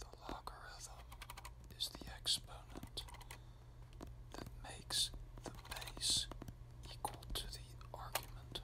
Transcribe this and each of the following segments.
The logarithm is the exponent that makes the base equal to the argument.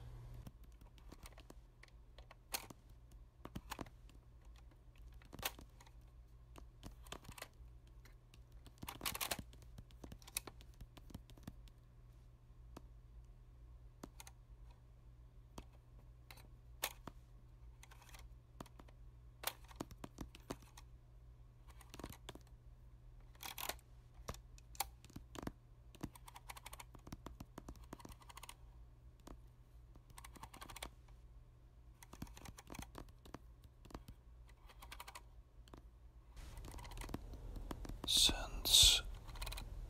Since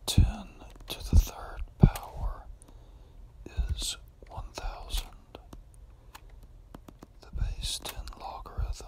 10 to the third power is 1000, the base 10 logarithm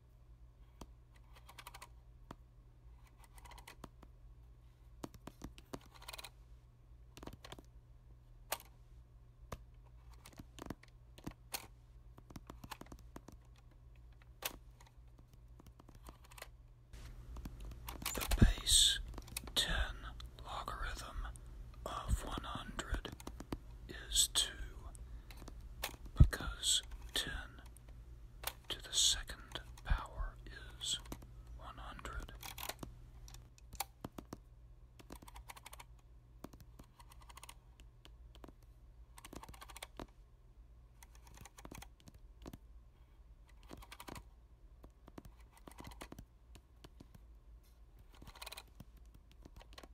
The base ten logarithm of one hundred is 2 because 10 to the second power is 100.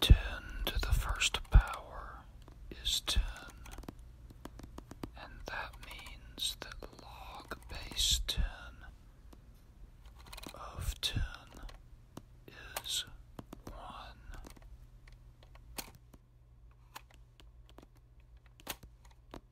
10 to the first power is 10, and that means that log base 10 of 10 is 1.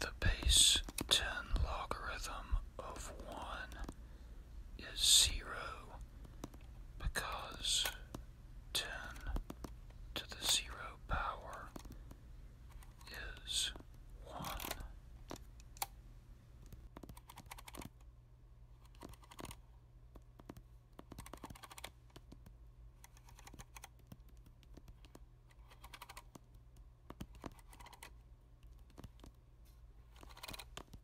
The base 10 logarithm of 1 is zero because 10 to the zero power is 1.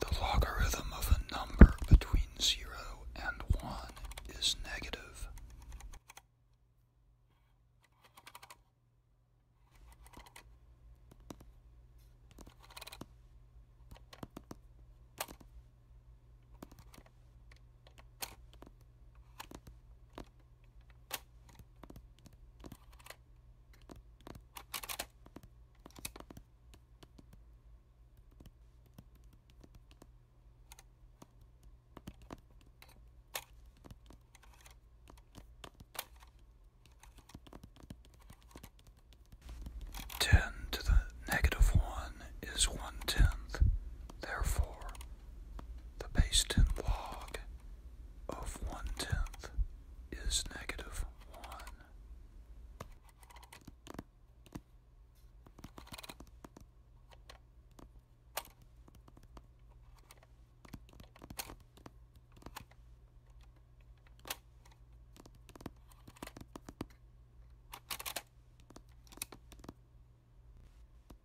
The logarithm of a number between 0 and 1 is negative. Ten to the negative one is one tenth. Therefore, the base ten log of one tenth is negative one.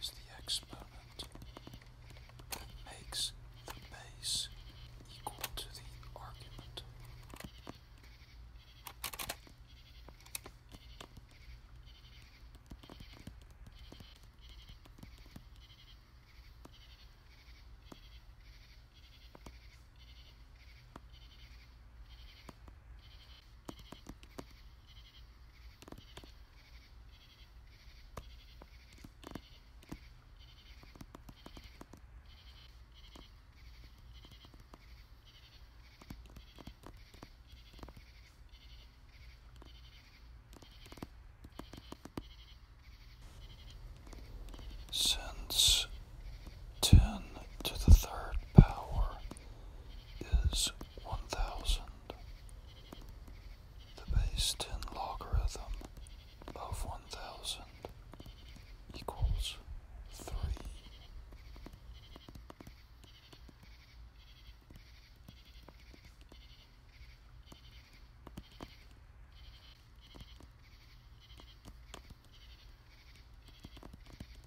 is the exponent that makes the base equal to the argument. Since 10 to the third power is 1000, the base 10 logarithm of 1000 equals 3.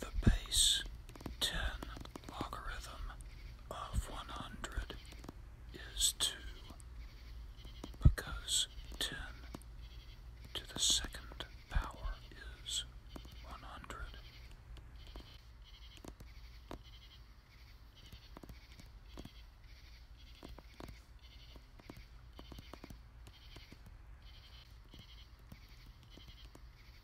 the base 10 logarithm of 100 is 2 because 10 to the second power is 100.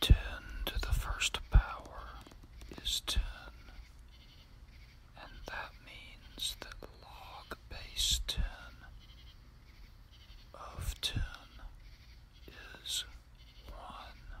Ten to the first power is ten, and that means that log base ten of ten is one.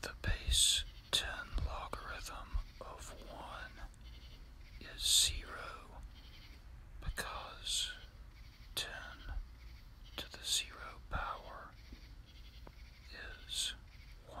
The base 10 logarithm of 1 is 0 because 10 to the 0 power is 1.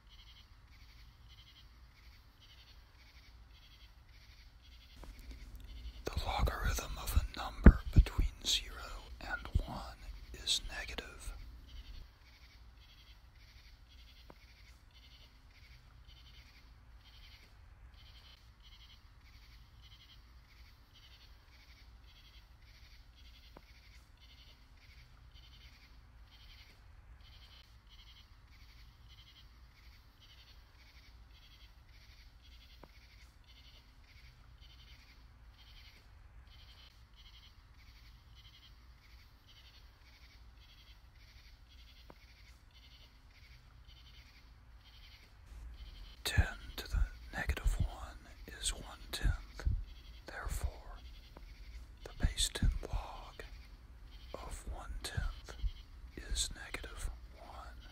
The logarithm of a number between 0 and 1 is negative. 10 to the negative 1 is 1 tenth. Therefore, the base ten log of one tenth is negative one.